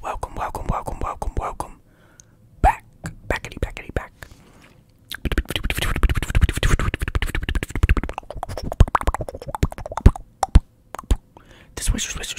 Welcome, welcome, welcome, welcome, welcome back, backity, backity, back. This swisher, swisher,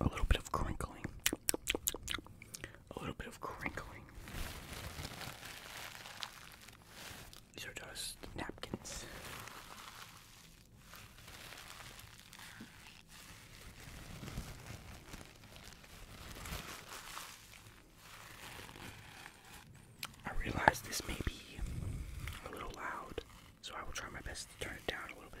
a little bit of crinkling, a little bit of crinkling. These are just napkins. I realize this may be a little loud, so I will try my best to turn it down a little bit.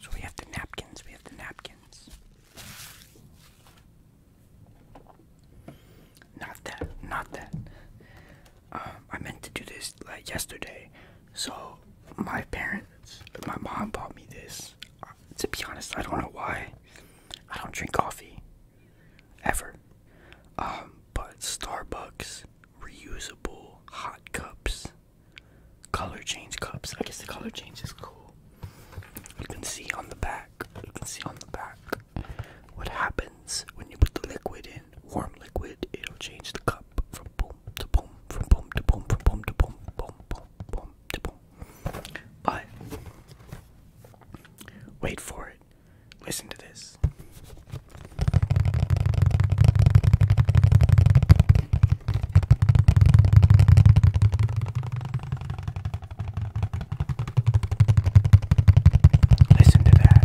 So we have the napkins, we have the napkins. Not that, not that. Um, I meant to do this like yesterday. So my parents, my mom bought me this. Uh, to be honest, I don't know why. I don't drink coffee, ever. Um, but Starbucks reusable hot cups, color change cups. I guess the color change is cool. You can see on the back. You can see on the back. What happens when you put the liquid in, warm liquid, it'll change the cup from boom to boom, from boom to boom, from boom to boom, boom, boom, boom to boom. But, wait for it. Listen to this. Listen to that.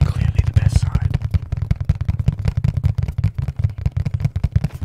Clearly the best side.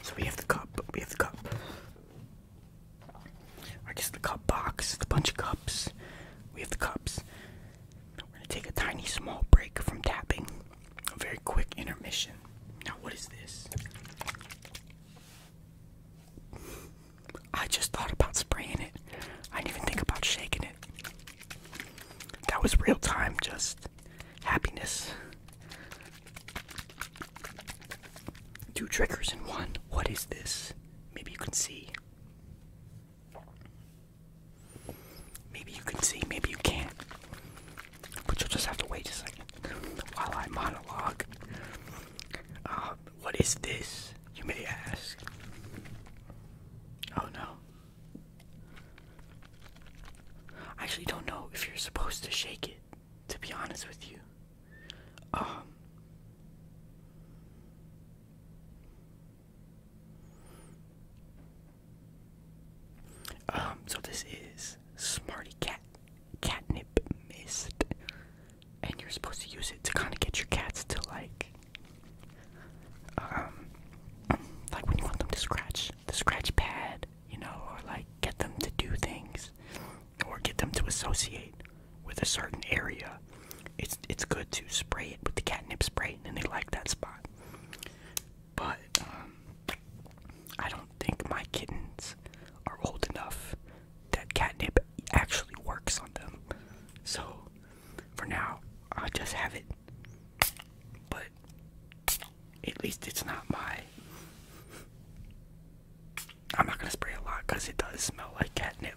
So we have the cup, we have the cup. I guess the cup box, the bunch of cups. We have the cups. We're gonna take a tiny small break from tapping. A very quick intermission. Now, what is this? I just thought about spraying it. I didn't even think about shaking it. That was real time, just happiness. Two triggers in one. What is this? Maybe you can see. Maybe you can see, maybe you can't. But you'll just have to wait a second while I monologue. Uh, what is this, you may ask? Oh no. I actually don't know if you're supposed to shake it, to be honest with you. Um. Um, so this is Smarty Cat catnip mist, and you're supposed to use it to kind of get your cats to like, um, like when you want them to scratch the scratch pad, you know, or like get them to do things, or get them to associate with a certain area. It's it's good to spray it with the catnip spray, and they like that spot. But um, I don't think my kittens are old enough that catnip actually works on them. So for now, I just have it. But at least it's not my. I'm not gonna spray a lot because it does smell like catnip.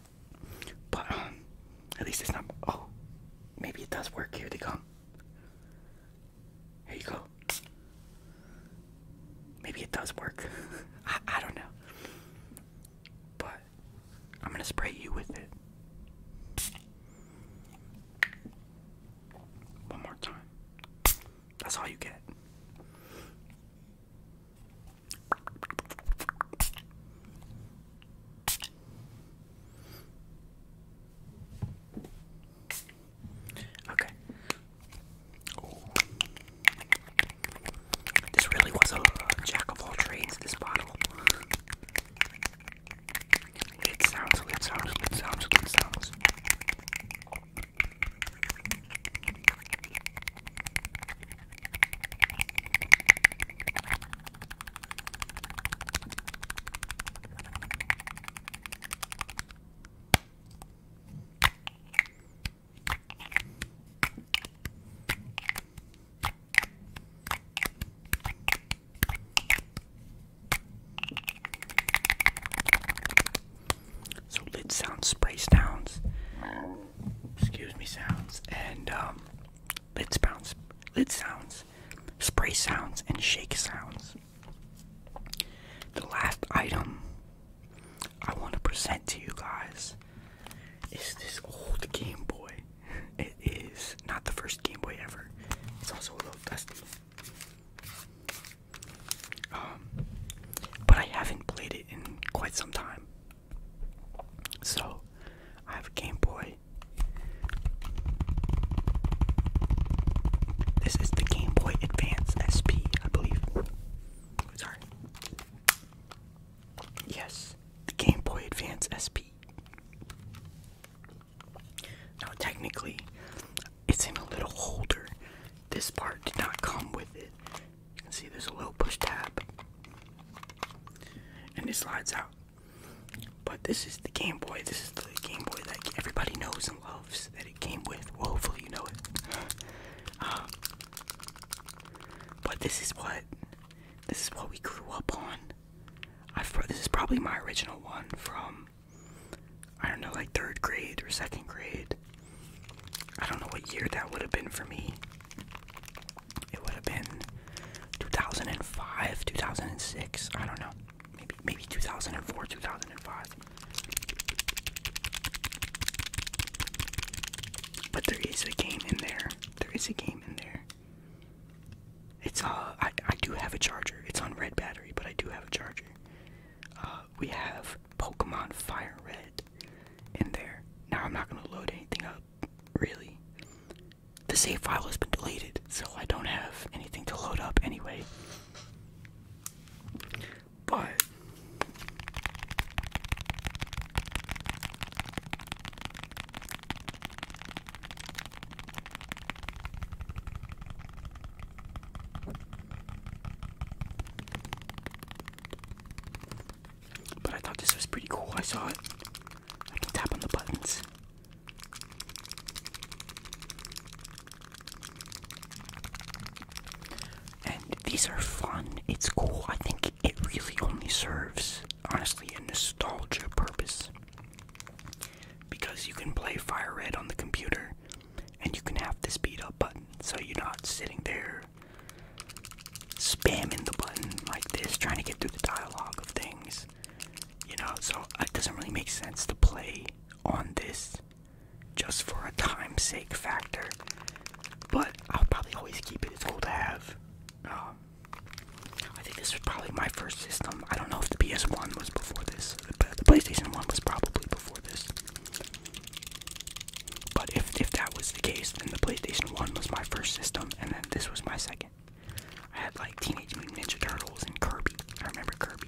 But um, at least it's not. Oh, maybe it does work. Here they come. Here you go. Maybe it does work. I, don't know. But I'm gonna spray you with it. One more time. That's all you get. Okay. Ooh. This really was a uh, jack of all trades, this bottle. It sounds, it sounds, it sounds, it sounds. So lid sounds, spray sounds, excuse me, sounds, and um, lid sounds, lid sounds, spray sounds, and shake sounds. The last item I want to present to you guys is this old Game Boy. It is not the first Game Boy ever. It's also a little dusty. Um, but I haven't played it in quite some time. So, I have a Game Boy. This is the Game Boy Advance SP, I believe. Sorry. Yes, the Game Boy Advance SP. Now, technically, it's in a little holder. This part did not come with it. You can see there's a little push tab, and it slides out. But this is the Game Boy. This is the Game Boy that everybody knows and loves it came with. hopefully you know it. Um, but this is what this is what we grew up on. I've this is probably my original one from I don't know like third grade or second grade. I don't know what year that would have been for me. It would have been 2005, 2006. I don't know maybe maybe 2004, 2005. But there is a game in there. There is a game in there. It's uh I I do have a charger. It's on red battery, but I do have a charger. Uh we have Pokemon Fire Red in there. Now I'm not gonna load anything up, really. The save file has been deleted, so I don't have anything to load up anyway. But but I thought this was pretty cool. I saw it. I can tap on the buttons. And these are fun. It's cool. I think it really only serves, honestly, a nostalgia purpose. Because you can play Fire Red on the computer and you can have the speed up button. So you're not sitting there spamming the button like this, trying to get through the dialogue of things. You know, so it doesn't really make sense to play on this just for a time sake factor. But I'll probably always keep it. It's cool to have. Um, I think this was probably my first system. I don't know if the PS1 was before this. but the PlayStation 1 was probably before this. But if, if that was the case, then the PlayStation 1 was my first system, and then this was my second. I had like Teenage Mutant Ninja Turtles and Kirby. I remember Kirby.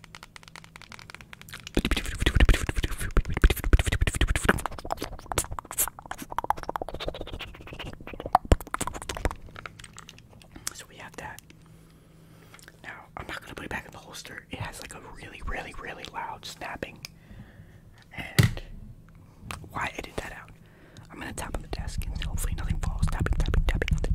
So we have that. Now, I'm not going to put it back in the holster. It has like a really, really, really loud snapping. And why edit that out? I'm going to tap on the desk and hopefully nothing falls. Tapping, tapping, tapping on the desk.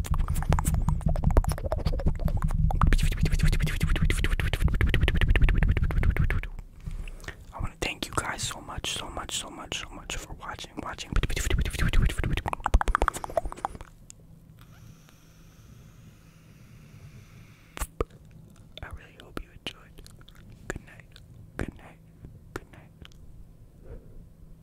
I want to thank you guys so much, so much, so much, so much for watching, watching. I really hope you enjoyed. Good night. Good night. Good night.